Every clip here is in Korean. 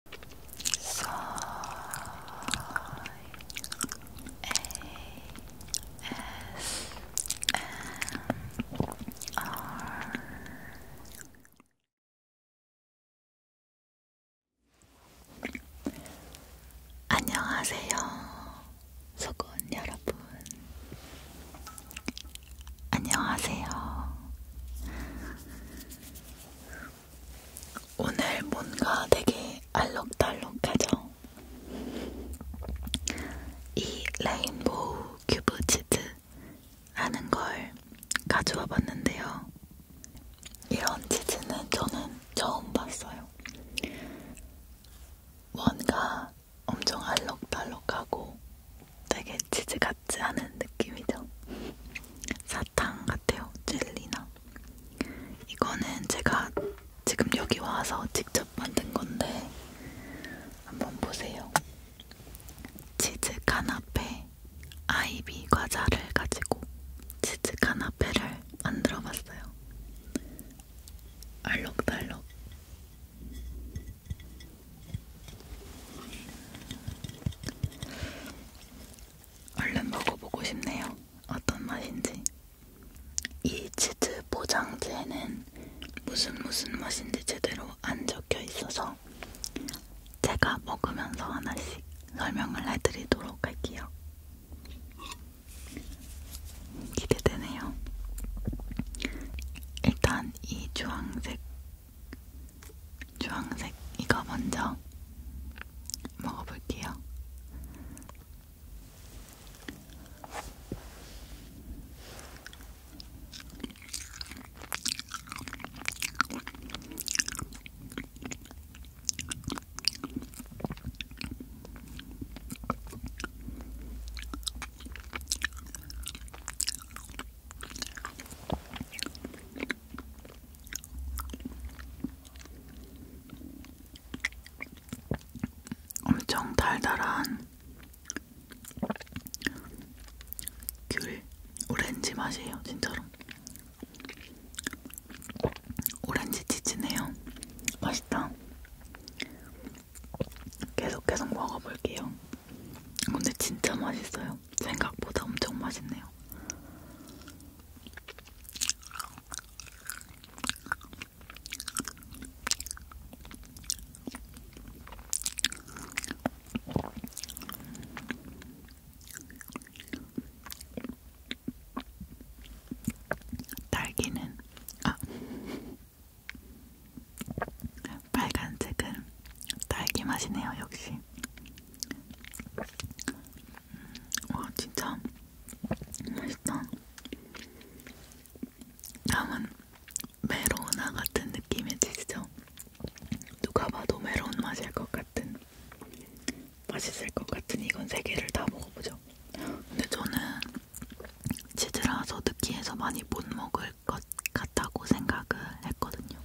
S A S M R 안녕하세요, 소곤 여러분. 안녕하세요. 오늘 뭔가 되게 알록달록하죠? 이 레인보우 큐브 치즈 하는 걸 가져와 봤는데요. 이런 치즈는 저는 처음 봤어요. 뭔가 엄청 알록달록하고 되게 치즈 같지 않은 느낌이죠. 사탕 같아요. 젤리나. 이거는 제가 지금 여기 와서 직접 만든 건데 한번 보세요. 치즈 카나페 아이비 과자를 가지고 치즈 카나페를 만들어봤어요. 알록달록. 얼른 먹어보고 싶네요. 어떤 맛인지. 이 치즈 포장지에는 무슨 무슨 맛인지 제대로 안 적혀 있어서 제가 먹으면서 하나씩 설명을 해드리도록 할게요. 기대되네요. 일단 이 주황색 주황색 이거 먼저 먹어볼게요. 엄청 달달한 귤 오렌지 맛이에요, 진짜로. 오렌지 치즈네요. 맛있다. 계속 계속 먹어볼게요. 근데 진짜 맛있어요. 생각보다 엄청 맛있네요. 딸기는 아 빨간색은 딸기 맛이네요, 역시. 와 진짜 맛있다. 다음은 메로나 같은 느낌의 치즈죠. 누가 봐도 메론 맛일 것 같은 맛있을 것 같은 이건 세 개를 다 먹어보죠. 근데 저는 치즈라서 느끼해서 많이 못 먹을 것 같다고 생각을 했거든요.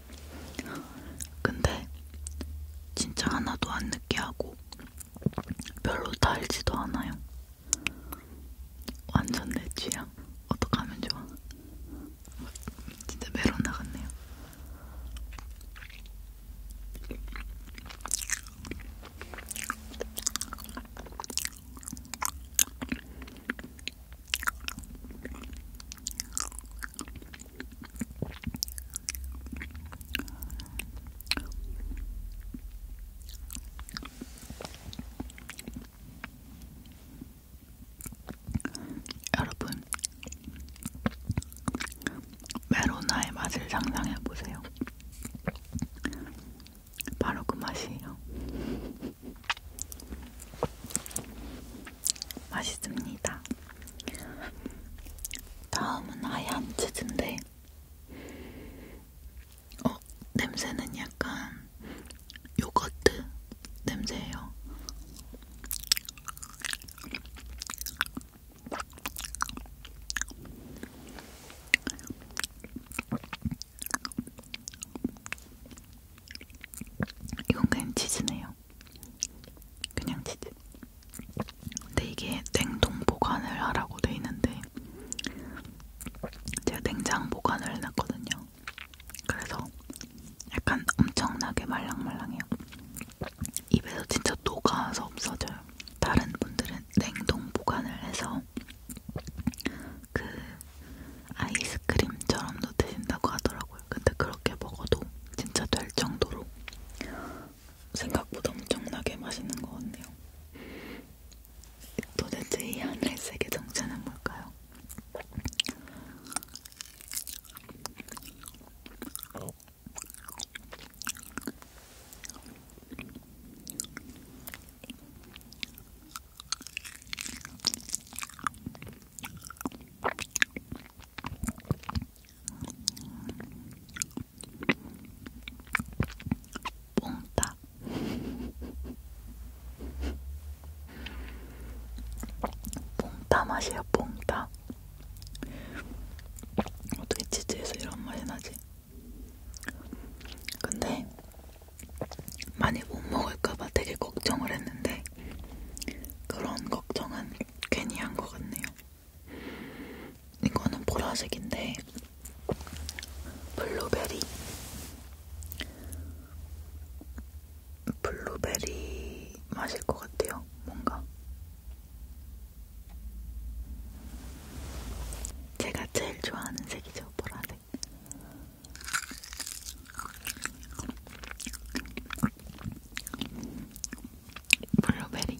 근데 진짜 하나도 안 느끼하고 별로 달지도 않아요. 완전 내 취향. 어떡하면 좋아? 진짜 메론 나갔네요. 여러분, 메로나의 맛을 상상해 보세요. 바로 그 맛이에요. 맛있습니다. 다음은 하얀 치즈인데, 어, 냄새는 약간 요거트 냄새예요. 이건 그냥 치즈네요. 그냥 치즈. 근데 이게 냉동 보관을 하라고 돼 있는데 제가 냉장 보관을 해놨거든요. 그래서 약간 엄청나게 말랑말랑해요. 입에서 진짜 녹아서 없어져요. 다른 분들은 냉동 보관을 해서 그 아이스크림처럼도 드신다고 하더라고요. 근데 그렇게 먹어도 진짜 될 정도로 생각보다 엄청나게 맛있는 것 같네요. 도대체 이 하늘색의 정체는 뭘까요? 뽕따 뽕따 맛이야 뽕따 어떻게 치즈에서 이런 맛이 나지? 근데 많이 못 먹을까봐 되게 걱정을 했는데 그런 걱정은 괜히 한 것 같네요. 이거는 보라색인데 블루베리 블루베리 맛일 것 같아요. 뭔가 제가 제일 좋아하는 색이죠. 보라색. 블루베리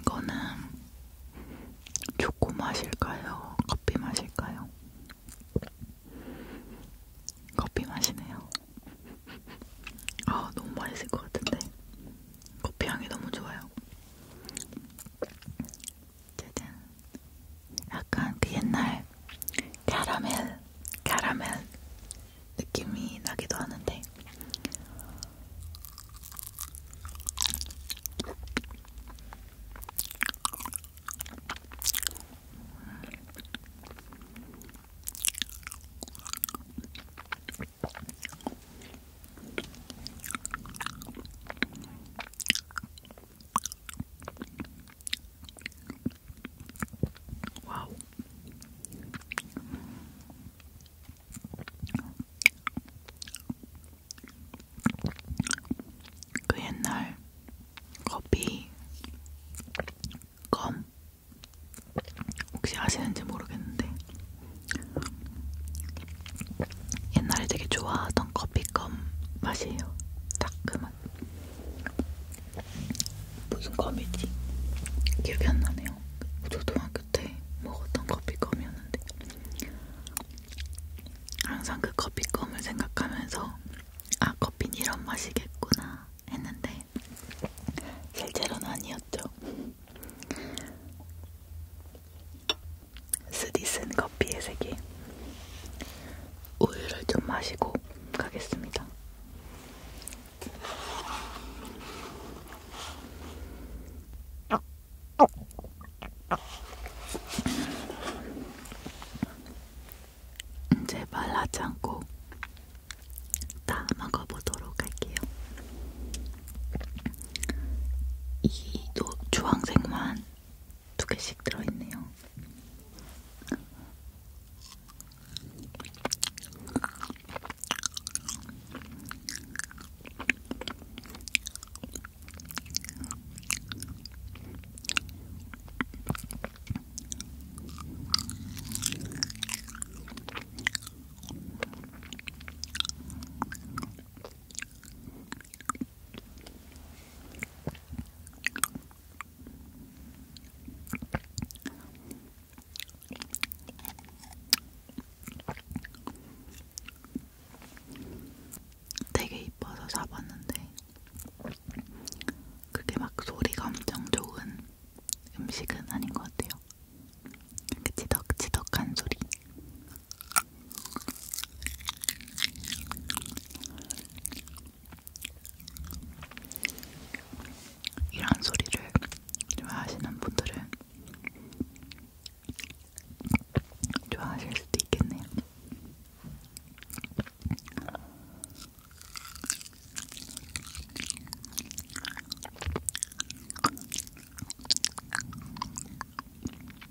이거는 초코 맛일까요? 커피 맛일까요? 커피 맛이네요. 아, 너무 맛있을 것 같은데. 커피 향이 너무 좋아요. 짜잔. 약간 그 옛날 캐러멜, 캐러멜 느낌이 나기도 하는데. 와우. 그 옛날 커피 껌 혹시 아시는지 모르겠는데 옛날에 되게 좋아하던 커피껌 맛이에요. 딱 그 맛. 무슨 껌이지? 기억이 안 나네요. 초등학교 때 먹었던 커피껌이었는데 항상 그 커피껌을 생각하면서 아 커피는 이런 맛이겠구나 했는데 실제로는 아니었죠. 스디슨 커피의 세계 우유를 좀 마시고 가겠습니다. 제발 하지 않고 다 먹어보도록 할게요. 이 노, 주황색만 두 개씩 들어있네요. 되게 이뻐서 사봤는데 그게 막 소리가 엄청 좋은 음식은 아닌 것 같아요. 그 지덕지덕한 소리. 이런 소리를 좋아하시는 분들은 좋아하실 수도 있겠네요.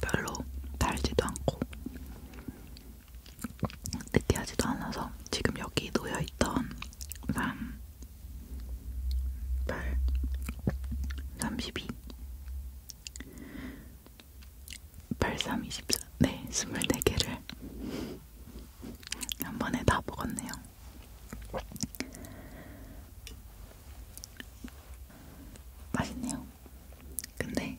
별로 달지도 않고 느끼하지도 않아서 지금 여기 놓여있던 람 8, 32, 83, 24, 네, 24개를 한 번에 다 먹었네요. 맛있네요. 근데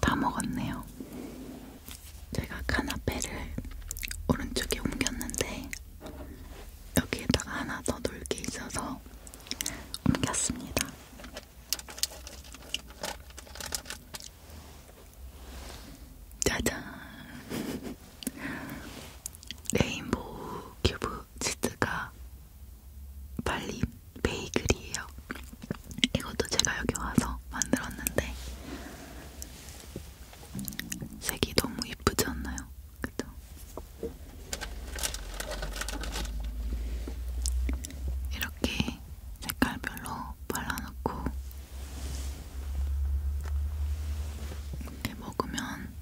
다 먹었네요. 제가 카나페를 오른쪽에 옮겼는데 여기에다가 하나 더 놓을 게 있어서 옮겼습니다. 짜잔! 레인보우 큐브 치즈가 발린 베이글이에요. 이것도 제가 여기 와서 만들었는데 색이 너무 예쁘지 않나요? 그죠? 이렇게 색깔별로 발라놓고 이렇게 먹으면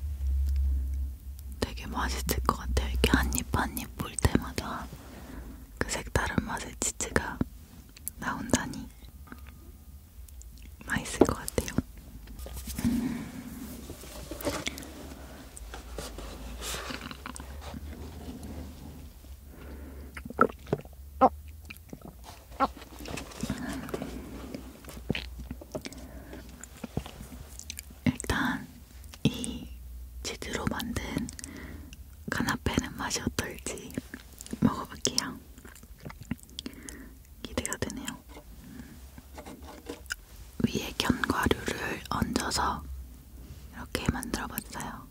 되게 맛있을 것 같아요. 이렇게 한입 한입 볼 때마다 그 색다른 맛의 치즈가 나온다니 맛있을 것 같아요. 음. 일단 이 치즈로 만든 카나페는 맛이 어떨지 먹어볼게요. 기대가 되네요. 위에 견과류를 얹어서 이렇게 만들어봤어요.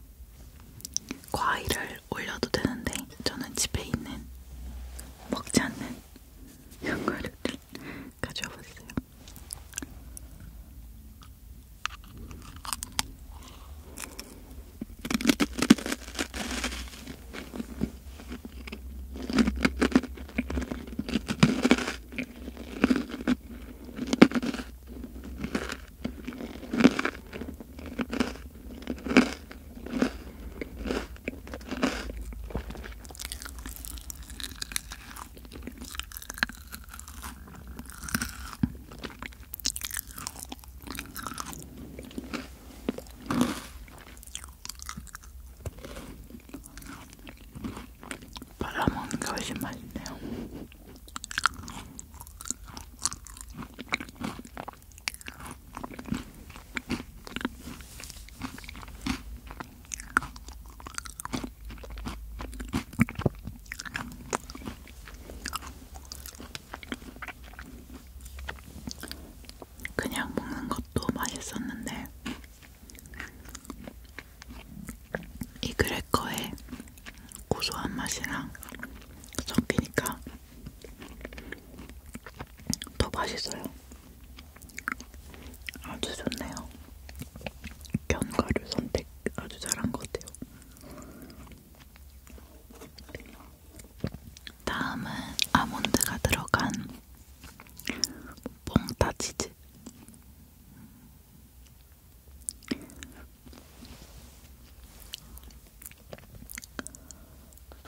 과일을 올려도 되는데 저는 집에 있는 먹지 않는 연가루를 가져와 봤어요. 바라먹는 게 훨씬 맛있네요. 그냥 먹는 것도 맛있었는데 이 그래커의 고소한 맛이랑 섞이니까 더 맛있어요. 아주 좋네요. 견과류 선택 아주 잘한 것 같아요. 다음은 아몬드가 들어간 뽕타 치즈.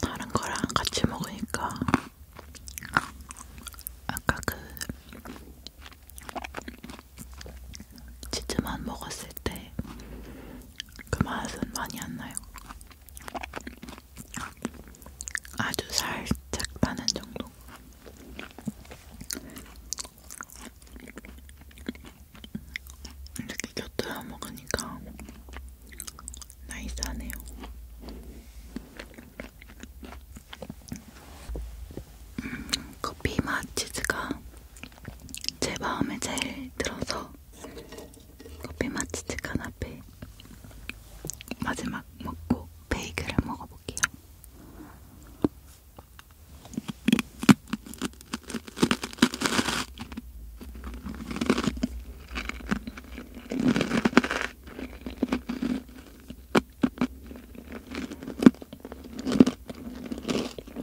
다른 거랑 같이 먹으니까 아까 그 치즈만 먹었을 때 그 맛은 많이 안 나요. 아주 살짝 나는 정도. 이렇게 곁들여 먹으니까 나이스하네요. 음, 커피 맛 치즈가 제 마음에 제일 들어서 커피 마치즈 카나페 마지막 먹고 베이글을 먹어볼게요.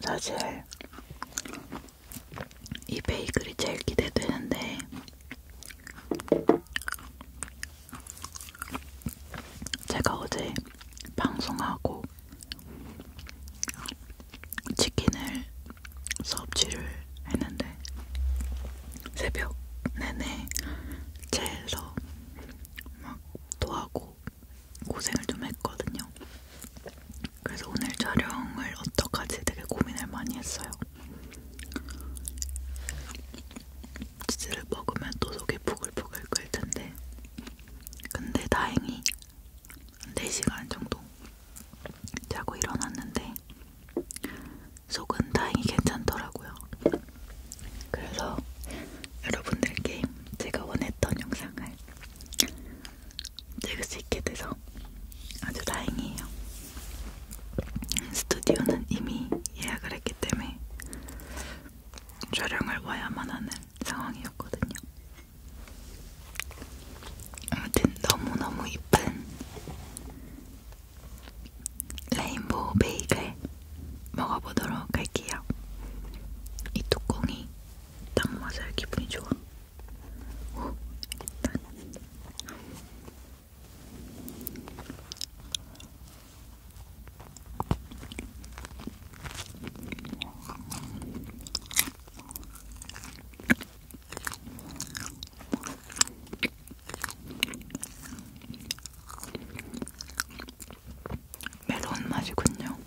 사실 이 베이글이 제일 기대되는데 제가 어제 방송하고 치킨을 수업치를 했는데 있었는데 네. 새벽 내내 체해서 막 도하고 고생을 좀 했거든요. 그래서 오늘 촬영을 어떡하지 되게 고민을 많이 했어요. 치즈를 먹으면 또 속이 부글부글 끓을 텐데, 근데 다행히 4시간 정도 자고 일어났는데 속은 다행히 괜찮더라고요. 그래서 여러분들께 제가 원했던 영상을 찍을 수 있게 돼서 아주 다행이에요. 스튜디오는 이미 예약을 했기 때문에 촬영을 와야만 하는 상황이었거든요. 아무튼 너무너무 이쁜 레인보우 베이글 먹어보도록 할게요. 이 뚜껑이 딱 맞아요. 기분이 좋아. 오, 일단. 매운 맛이군요.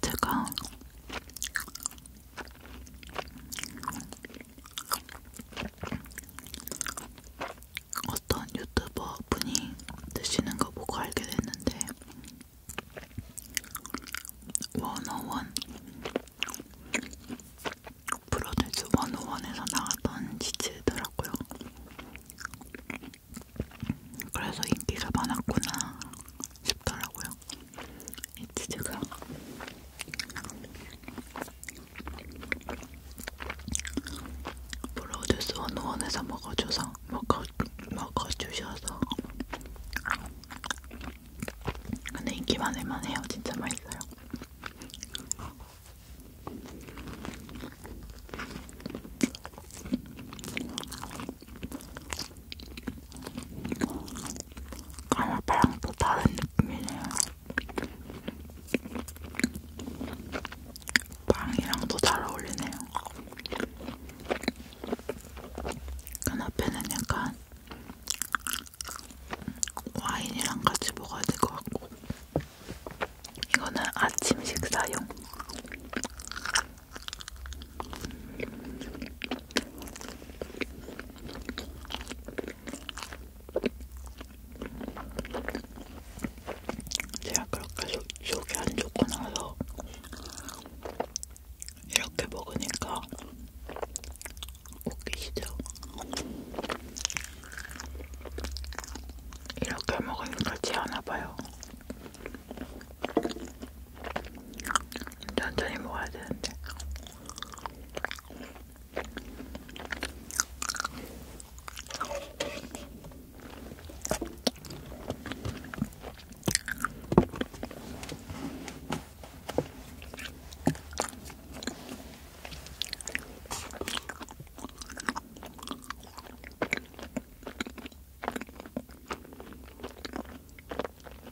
제가 어떤 유튜버 분이 드시는 거 보고 알게 됐는데 원어원 프로듀스 원어원에서 나왔던 치즈더라고요. 그래서 인기가 많았구나 싶더라고요. 이 치즈가 프로듀스 원원에서 먹어줘서 먹어 먹어주셔서 근데 인기 많을만 해요. 진짜 맛있어요. 까나파랑 또 다른 느낌이네요. 빵이랑 또잘 어울리네요. 까나페는 그 약간 와인이랑 같이 먹어야 될 것 같고 이거는 아침 식사용 제가 그렇게 소, 속이 안 좋고 나서 이렇게 먹으니까 웃기시죠? 이렇게 먹으니까 지 않아봐요. 천천히 먹어야 되는데.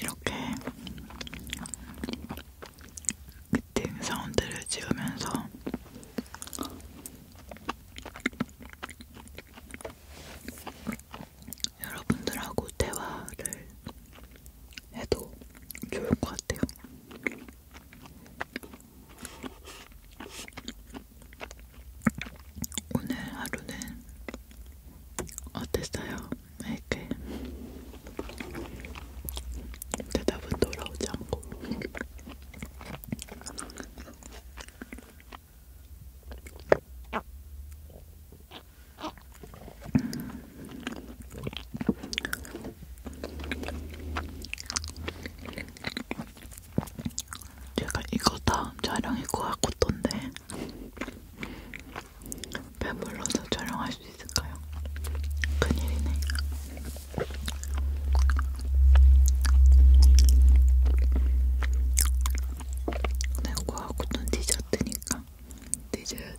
이렇게 기팅 사운드를 지으면서 여러분들하고 대화를 해도 좋을 것 같아요. 오늘 하루는 어땠어요? 이렇게 대답은 돌아오지 않고 제가 이거 다음 촬영이 고아코토인데 배불러서 촬영할 수 있을까요? 큰일이네. 내거하고 네, 또 디저트니까 디저트.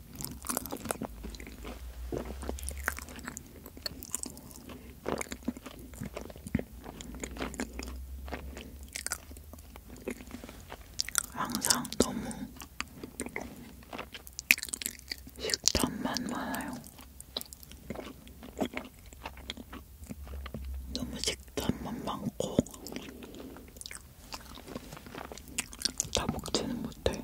항상 너무 식탐만 많아요. 너무 식탐만 많고 다 먹지는 못해.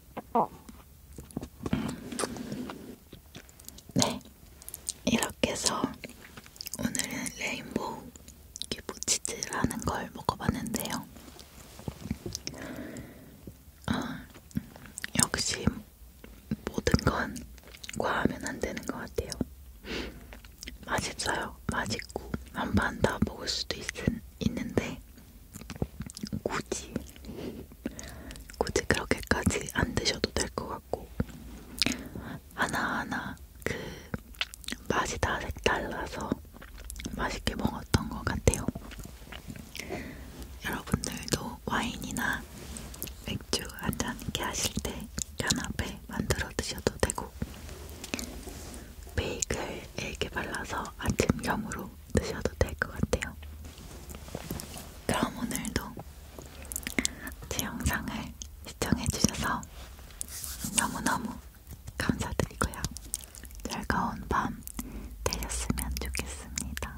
네, 이렇게 해서 오늘은 레인보우 큐브치즈라는 걸 먹어봤는데요. 아, 음, 역시 모든 건 과하면 안 되는 것 같아요. 맛있어요. 맛있고 한판다 먹을 수도 있, 있는데 굳이 굳이 그렇게까지 안 드셔도 될 것 같고 하나하나 그 맛이 다 색달라서 맛있게 먹었던 것 같아요. 여러분들도 와인이나 맥주 한잔 이렇게 하실 때 까나페 만들어 드셔도 되고 베이글 이렇게 발라서 아침겸으로 드셔도 될 것 같아요. 그럼 오늘도 제 영상을 시청해주셔서 너무너무 감사드리고요. 즐거운 밤 되셨으면 좋겠습니다.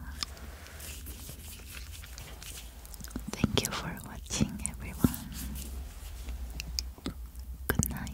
Thank you for watching everyone. Good night.